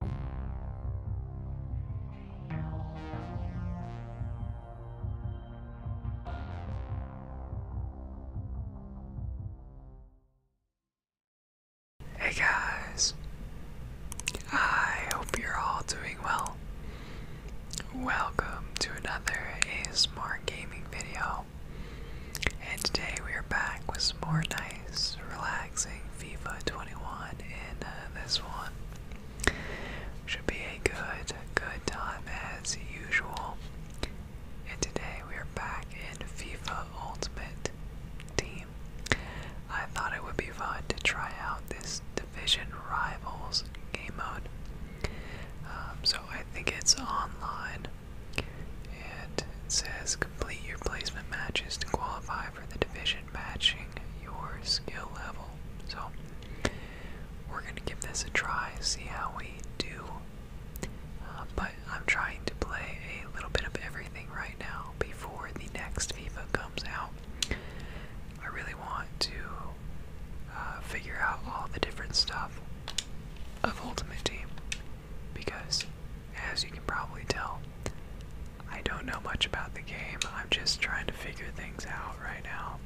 Hey guys, I hope you're all doing well. Welcome to another ASMR gaming video, and today we are back with some more Night relaxing FIFA 21 in uh, this one. Should be a good, good time as usual. And today we are back in FIFA Ultimate Team. I thought it would be fun to try out this Division Rivals game mode. Um, so I think it's online. And it says Complete your placement matches to qualify for the division matching your skill level. So, we're going to give this a try, see how we do. Uh, but I'm trying to play a little bit of everything right now before the next FIFA comes out. I really want to uh, figure out all the different stuff of Ultimate Team because, as you can probably tell, I don't know much about the game. I'm just trying to figure things out right now.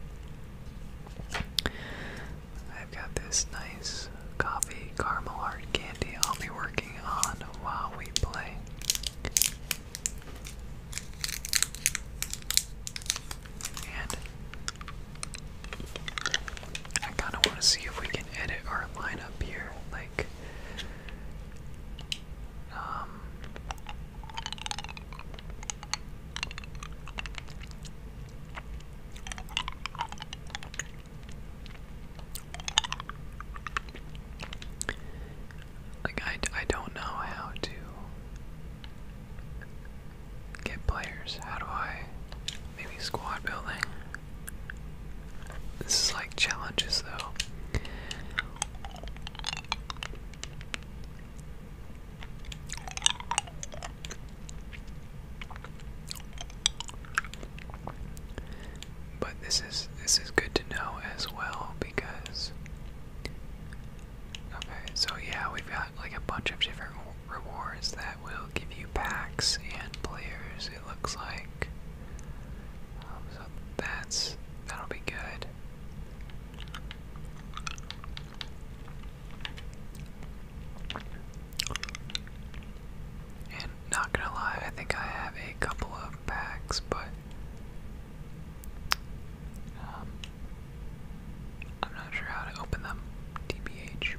I've got this nice coffee caramel hard candy I'll be working on while we play. And I kind of want to see if we can edit our lineup here. Like, um, like I, I don't know how to get players. How do I maybe squad building? This is like challenges though. But this is this is good to know as well because Okay, so yeah, we've got like a bunch of different rewards that will give you packs and players, it looks like. Um, so that's that'll be good. And not gonna lie, I think I have a couple of packs, but um, I'm not sure how to open them. TBH.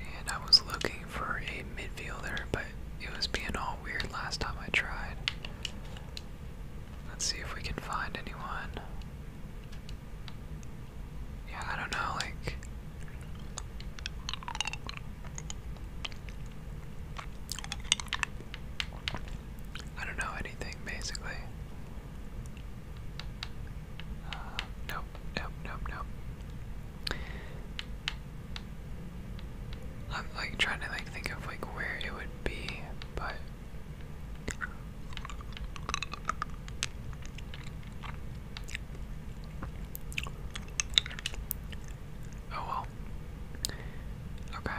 And I was looking for a midfielder, but it was being all weird last time I tried. Let's see if we can find anyone. Yeah, I don't know, like. I don't know anything basically. Uh, nope, nope, nope, nope. I'm like trying to like think of like where it would be, but Oh well. Okay,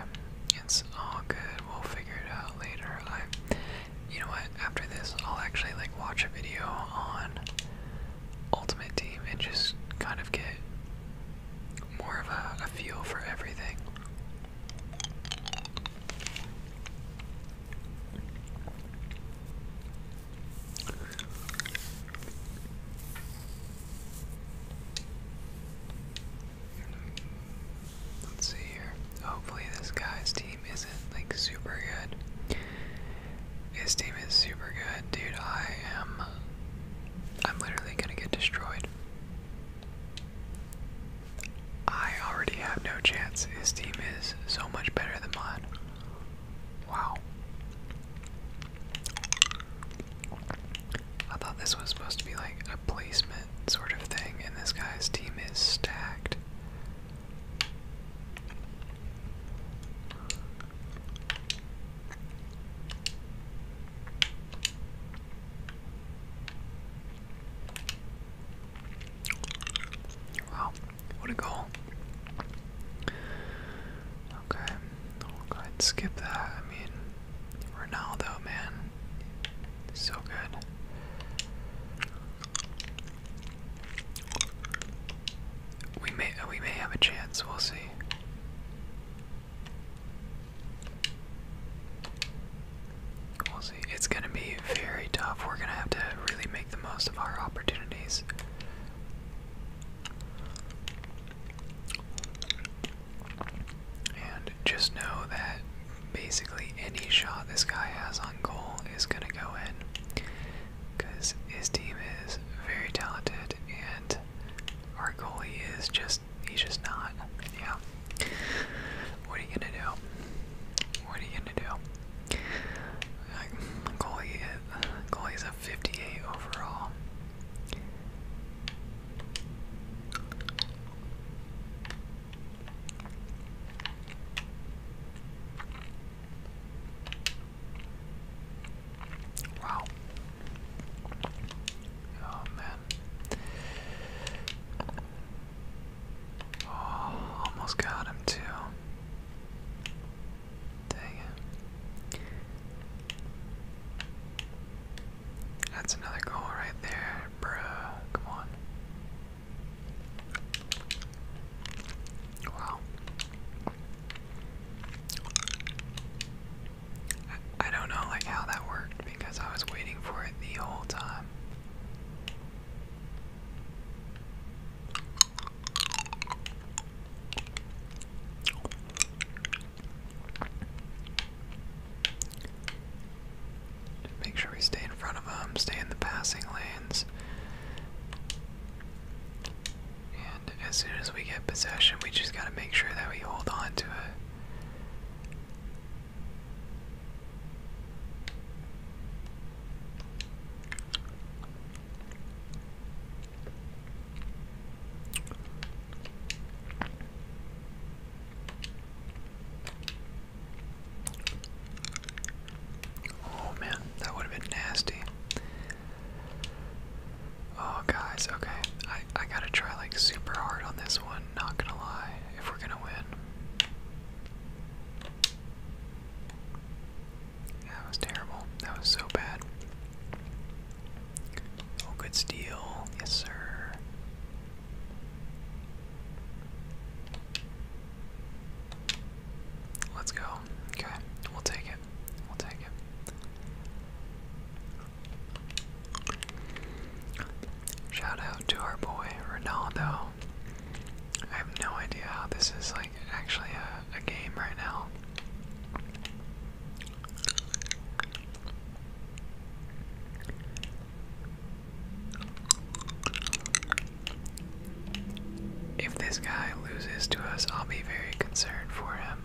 it's all good. We'll figure it out later. I, you know what? After this, I'll actually like watch a video on Ultimate Team and just kind of get more of a, a feel for everything. Let's see here. Hopefully, this guy's team isn't like super good. His team is super good, dude. I am. I'm literally gonna get destroyed. I already have no chance. His team is so much better than mine. Wow. I thought this was supposed to be like a placement sort of thing, and this guy's team is stacked. Wow, what a goal. Okay, we'll go ahead and skip that. I mean, Ronaldo, man. So good. We may uh, we may have a chance. We'll see. We'll see. It's gonna be very tough. We're gonna have to really make the most of our opportunities. And just know that basically any shot this guy has on goal is going to go in. Because his team is very talented and our goalie is just, he's just not. Yeah. What are you going to do? What are you going to do? Like, goalie, goalie is a 58 overall. Wow. Oh man. Oh, almost got him too. Dang it. That's another goal right there, bruh. Come on. Wow. I don't know like how that worked because I was waiting for it the whole time make sure we stay in front of them, stay in the passing lanes. And as soon as we get possession, we just gotta make sure that we hold on to it. Oh man, that would have been nasty. Oh guys, okay. I, I gotta try like super hard on this one, not gonna lie, if we're gonna win. That was terrible. That was so bad. Oh, good steal. Yes, sir. Let's go. Okay, we'll take it. We'll take it. Shout out to our boy Ronaldo. I have no idea how this is like actually a, game right now. If this guy loses to us, I'll be very concerned for him.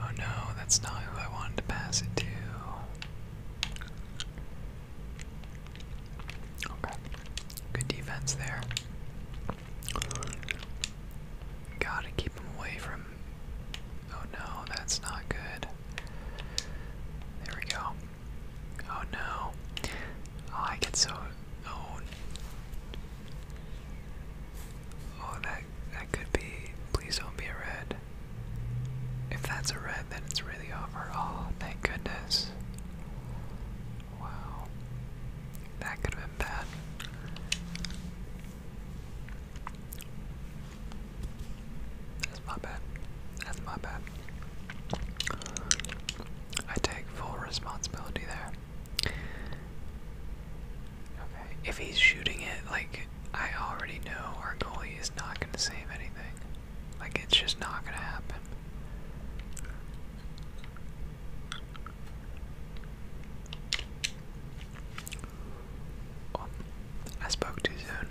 Oh no, that's not who I wanted to pass it to. Okay. Good defense there. Gotta keep him away from Oh no, that's not good. There we go. Oh no. Oh, I get so owned. Oh. oh, that that could be. Please don't be a red. If that's a red, then it's really over. Oh, thank goodness. Wow. That could have been bad. That's my bad. That's my bad. I take full responsibility there. Okay, if he's shooting it, like, I already know our goalie is not going to save anything. Like, it's just not going to happen. Oh, I spoke too soon.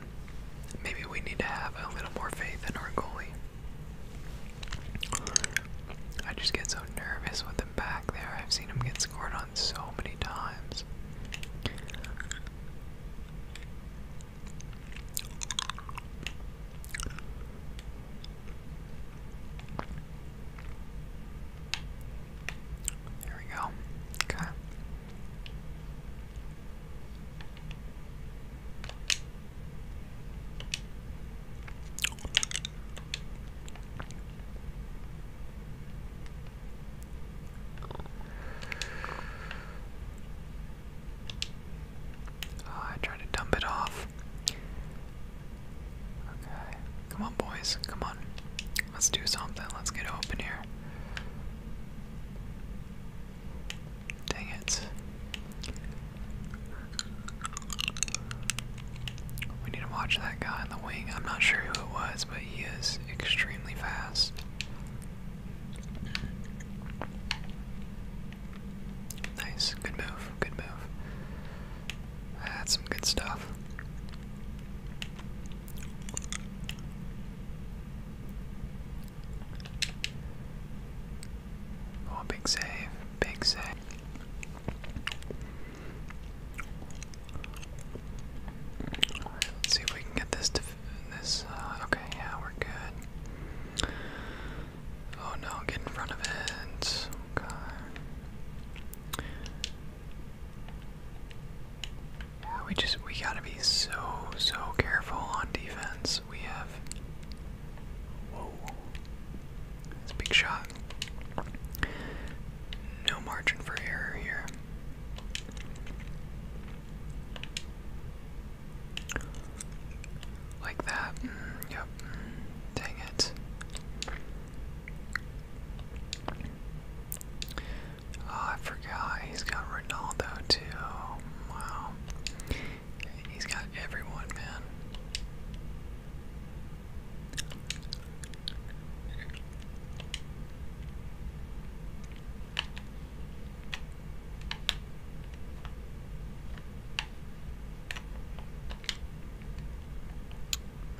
Maybe we need to have a little more faith in our goalie. I just get so nervous with him back there. I've seen him get scored on so many times. There we go. Okay. I tried to dump it off. Okay. Come on, boys. Come on. Let's do something. Let's get open here. Dang it. We need to watch that guy on the wing. I'm not sure who it was, but he is extremely fast. Nice. Good move. Good move. That's some good stuff. Oh, big save, big save. right, let's see if we can get this to this. Uh, okay, yeah, we're good. Oh no, get in front of it. Okay. We just we gotta be so so careful on defense. We have whoa, that's big shot. No margin for error here. Like that. Mm, yep. Mm, dang it. Oh, I forgot. He's got Ronaldo too. Wow. He's got everyone, man.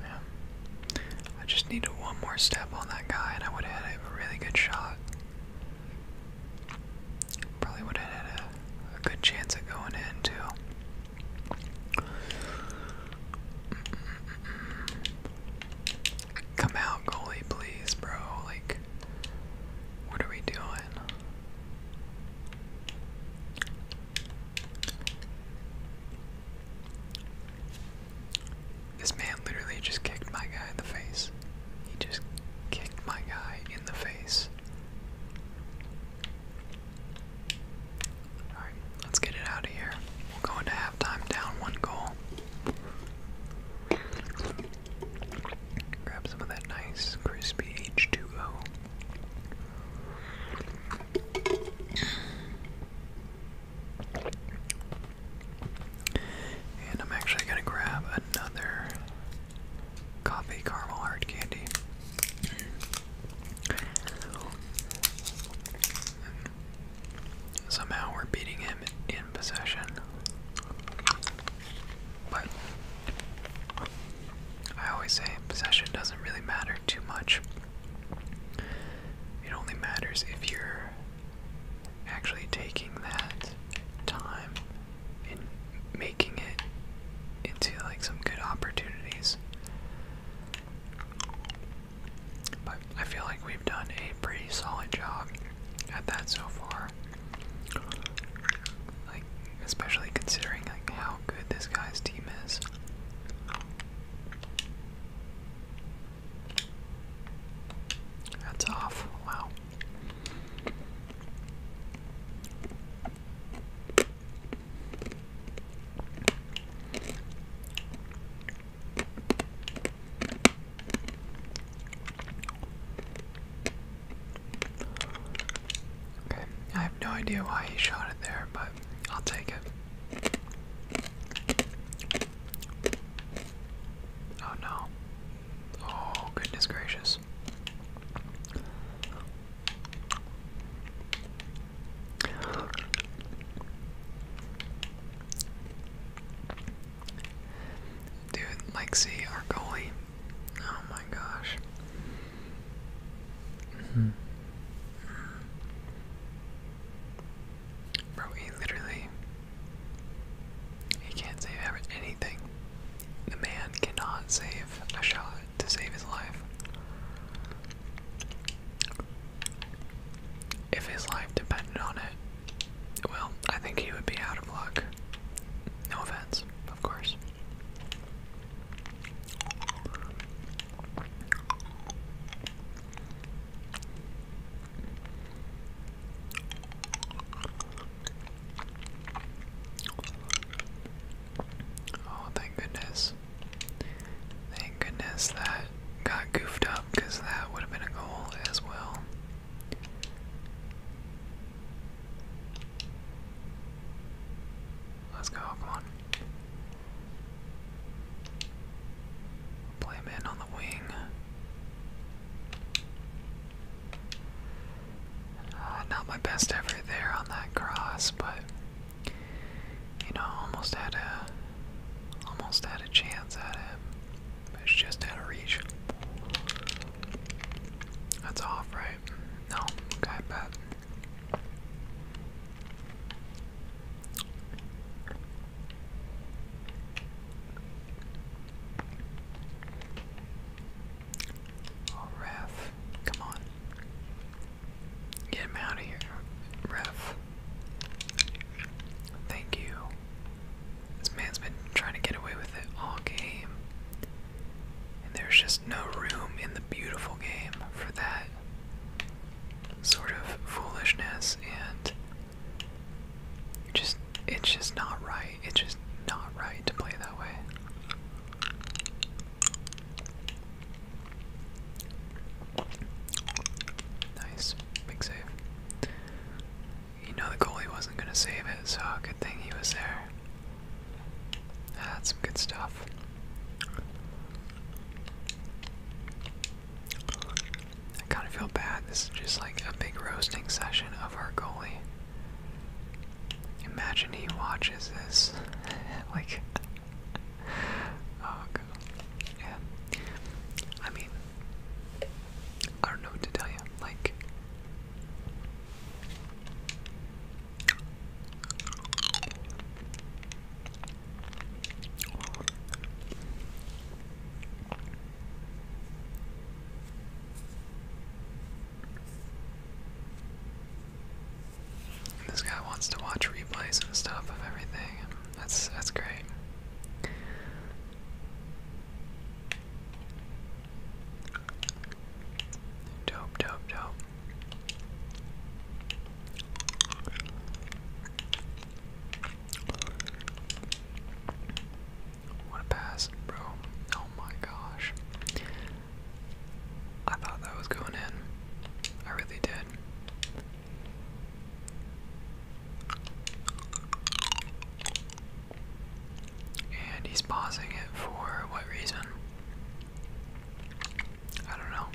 Man. I just needed one more step on that guy and I would have had a really good shot. Probably would have had a, good chance of going in too. Come out, goalie, please, bro. Like, what are we doing? This man literally just kicked my guy in the face. He just kicked my guy in the face. Alright, let's get it out of here. We'll go into halftime down one goal. Grab some of that nice crispy H2O. And I'm actually going to grab another coffee caramel hard candy. Somehow we're beating him in possession. But I always say possession doesn't really matter too much it only matters if you're actually taking that time and making it into like some good opportunities. But I feel like we've done a pretty solid job at that so far. Like especially considering like how good this guy's team is. That's off. Wow. Okay, I have no idea why he shot it there, but I'll take it. Oh no. Oh, goodness gracious. Dude, like, see, our Oh my gosh. Bro, he literally he can't save anything. The man cannot save a shot to save his life. If his life depended on it, well, I think he would be out of luck. No offense, of course. Oh, thank goodness. Thank goodness that got goofed up because that would have been a goal as well. Let's go, come on. Play him in on the wing. Uh, not my best effort there on that cross, but you know, almost had a almost had a chance at it. It's just out of reach. That's off, right? No, okay, bet. Oh, Ref, come on. Get him out of here, Ref. Thank you. This man's been trying to get away with it all game. And there's just no room in the beautiful game for that sort of foolishness and just it's just not right. It's just not right to play that way. Nice. Big save. You know the goalie wasn't gonna save it, so good thing he was there. That's some good stuff. I kind of feel bad. This is just like a big roasting session of our goalie. Imagine he watches this. like, oh, Yeah. I mean, I don't know what to tell you. Like, this guy wants to watch replays and stuff of everything. That's that's great. Dope, dope, dope. What a pass, bro. Oh my gosh. I thought that was going in. I really did. And he's pausing it for what reason? I don't know.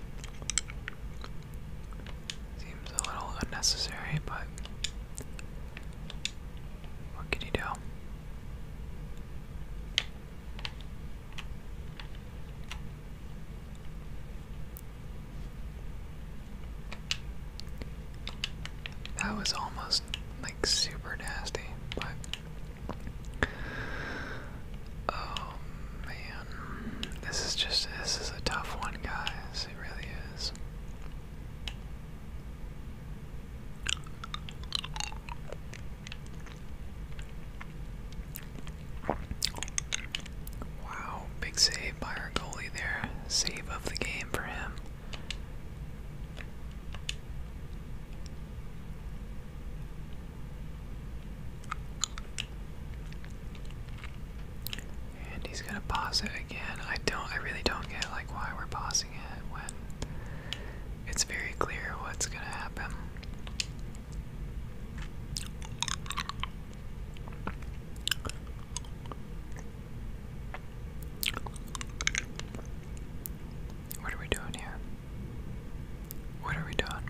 Seems a little unnecessary, but what can you do? That was almost like super nasty, but Oh man, this is just this is a tough one, guys. It really is. Wow, big save by our goalie there. Save of the game for him. And he's gonna pause it again. I don't I really don't get like why we're pausing it when it's very clear what's gonna happen. What are we doing here? What are we doing?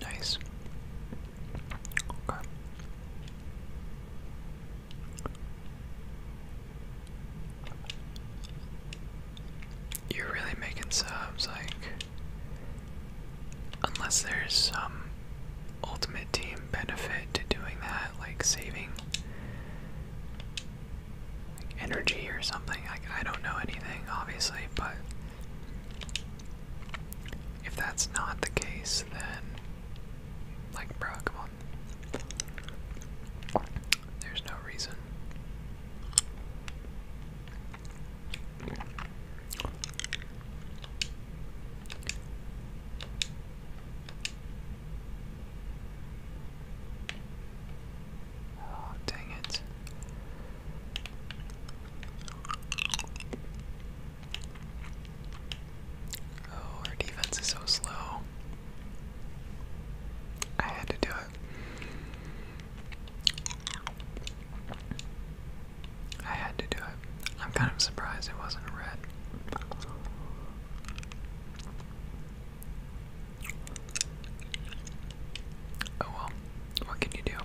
Nice. You're really making subs, like, unless there's some ultimate team benefit to doing that, like saving energy or something. Like, I don't know anything, obviously, but if that's not the case, then, like, bro, come on. There's no reason. Oh, dang it. Oh, our defense is so slow. I had to do it. I had to do it. I'm kind of surprised it wasn't red. Oh well, what can you do?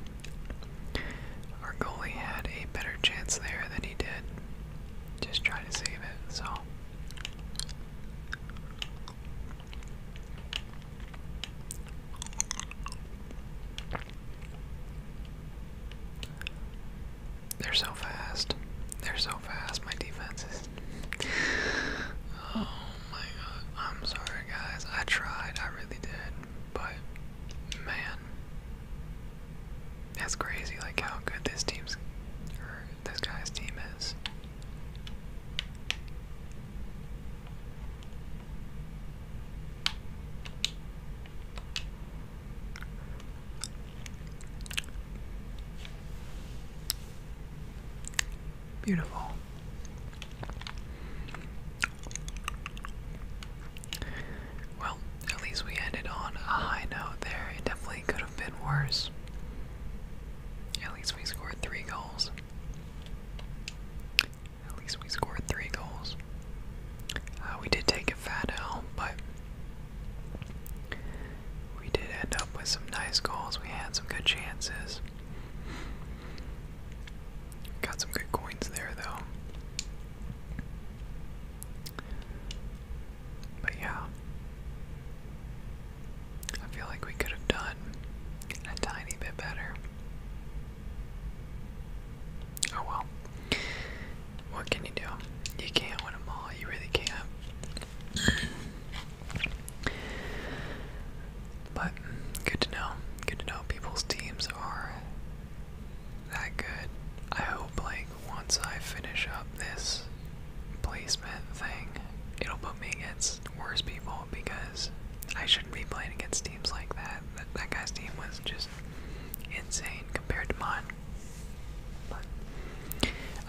Our goalie had a better chance there than he did just try to save it, so they're so fast. They're so fast, my defenses. oh my god. I'm sorry guys. I tried, I really did. But man, that's crazy, like how good this team's or this guy's team is. Beautiful. Well, at least we ended on a high note there. It definitely could have been worse. At least we scored three goals. At least we scored three goals. Uh, we did take a fat L, but we did end up with some nice goals. We had some good chances. Got some good coins there, though. But yeah, I feel like we could have done a tiny bit better. Oh well. What can you do? You can't win all, you really can't. But good to know. Good to know people's teams are that good. I hope like once I finish up this placement thing, it'll put me against worse people because I shouldn't be playing against teams like that. That, guy's team was just insane compared to mine. But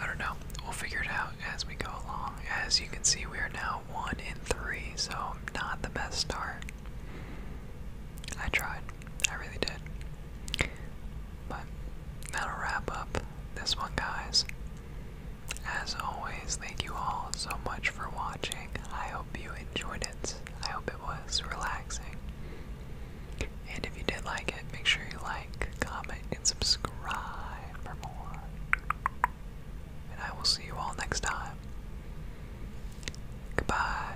I don't know. We'll figure it out as we go along. As you can see, we are now one in three, so not the best start. I tried. I really did. But that'll wrap up this one, guys. As always, thank you all so much for watching. I hope you enjoyed it. I hope it was relaxing. And if you did like it, make sure you like, comment, and subscribe for more. And I will see you all next time. Goodbye.